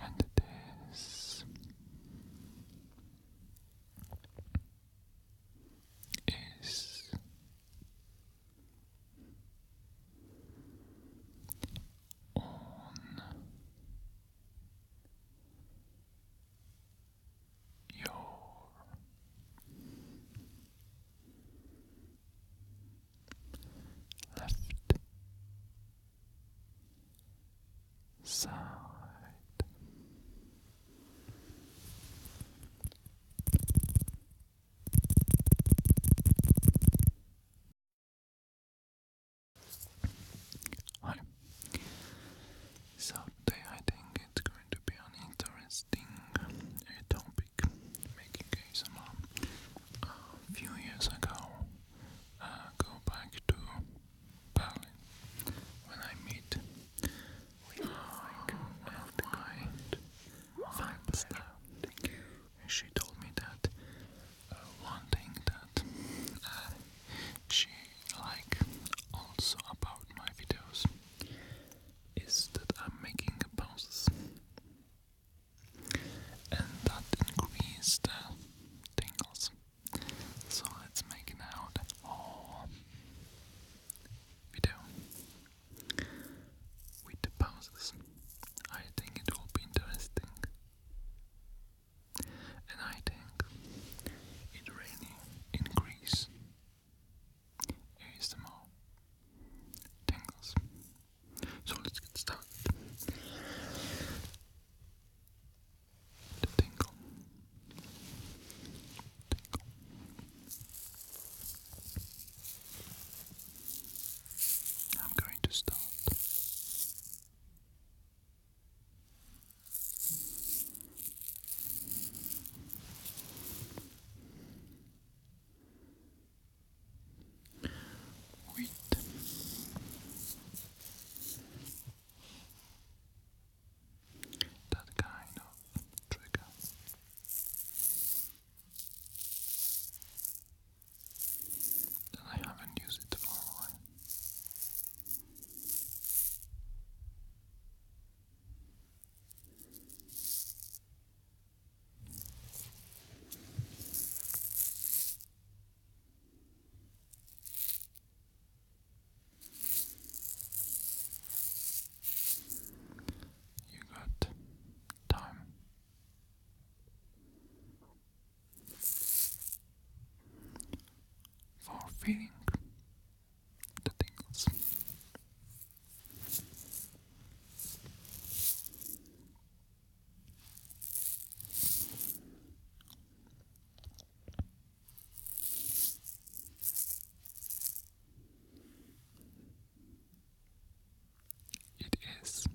and this is on your left side. So today I think it's going to be an interesting topic. Making case a uh, few years ago, uh, go back to Berlin when I meet one of my fans there. She told me that one uh, thing that uh, she like also about my videos is that I'm making pauses and that increased tingles. So let's make an out whole video with the pauses. I think it will be interesting, and I think it really increases ASMR tingles so let's get started. The tingle. Tingle. I'm going to start Wait. That kind of trigger. Then I haven't used it for a while. You got time. For feeling the tingles, it is interesting.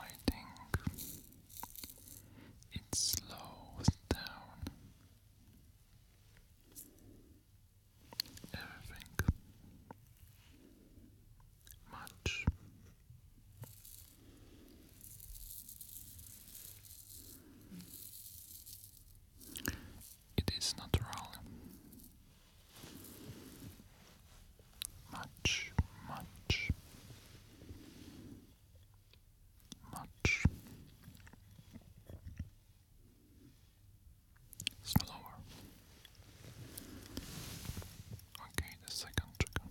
I think it slows down everything much. It is natural. Much, much, much, slower. Okay, the second trigger.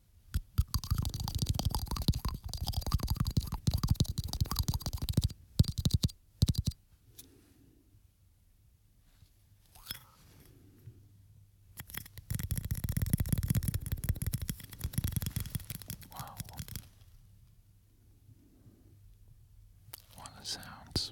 Wow. What a sounds.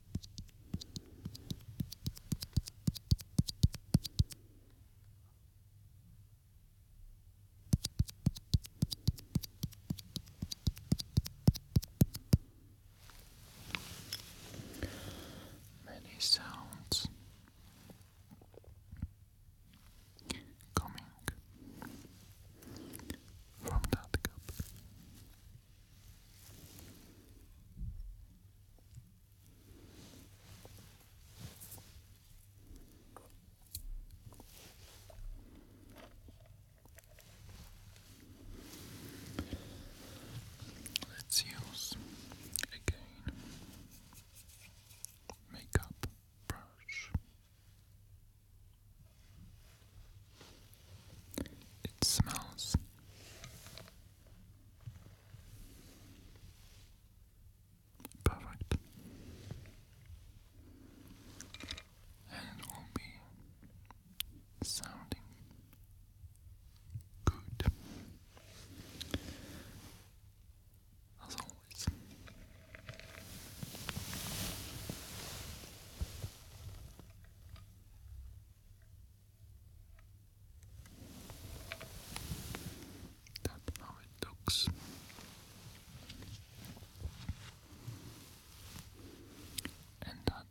Many sounds coming from that cup. Let's use again makeup brush. It smells. Perfect. And it will be sounding good. As always. That's how it looks. And that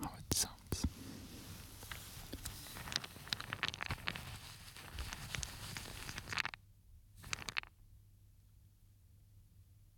how it sounds.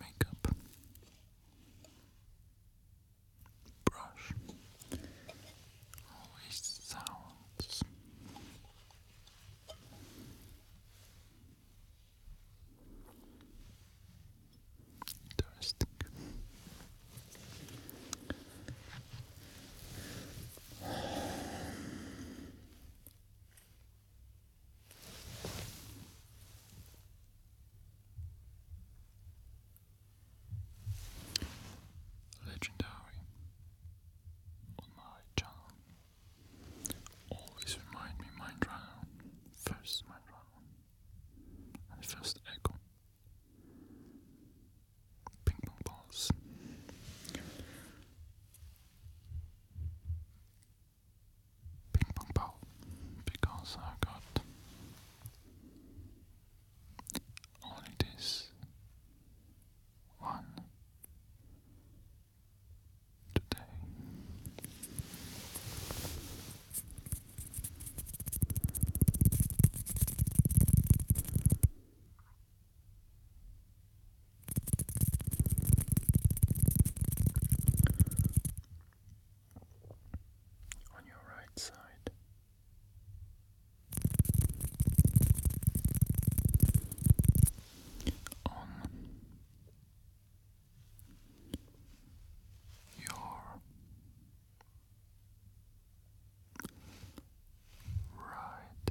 Makeup brush always sounds interesting. Legendary on my channel. Always remind me Mindrunner. First Mindrunner. And first Echo. Ping pong balls. Ping pong ball. Because I got only this one today on your right side. On your right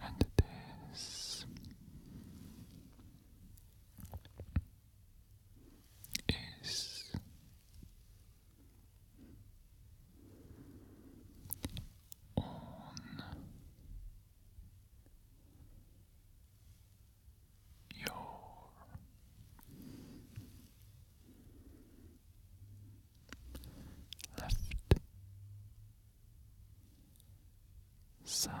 And it is is on your left side.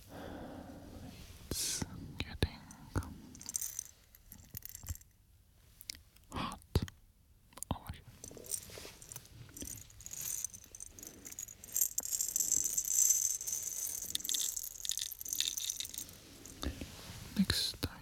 It's getting hot over Next item.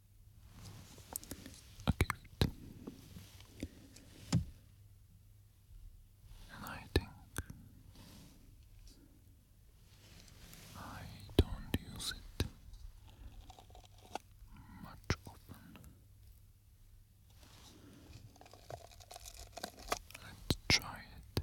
Okay. And I think I don't use it much often. Let's try it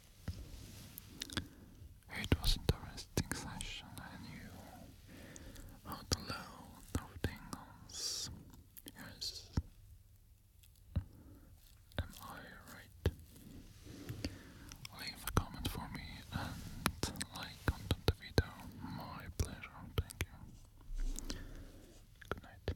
it was interesting session. I knew how to load of tingles. Yes. Am I right? Leave a comment for me and like onto the video. My pleasure. Thank you. Good night.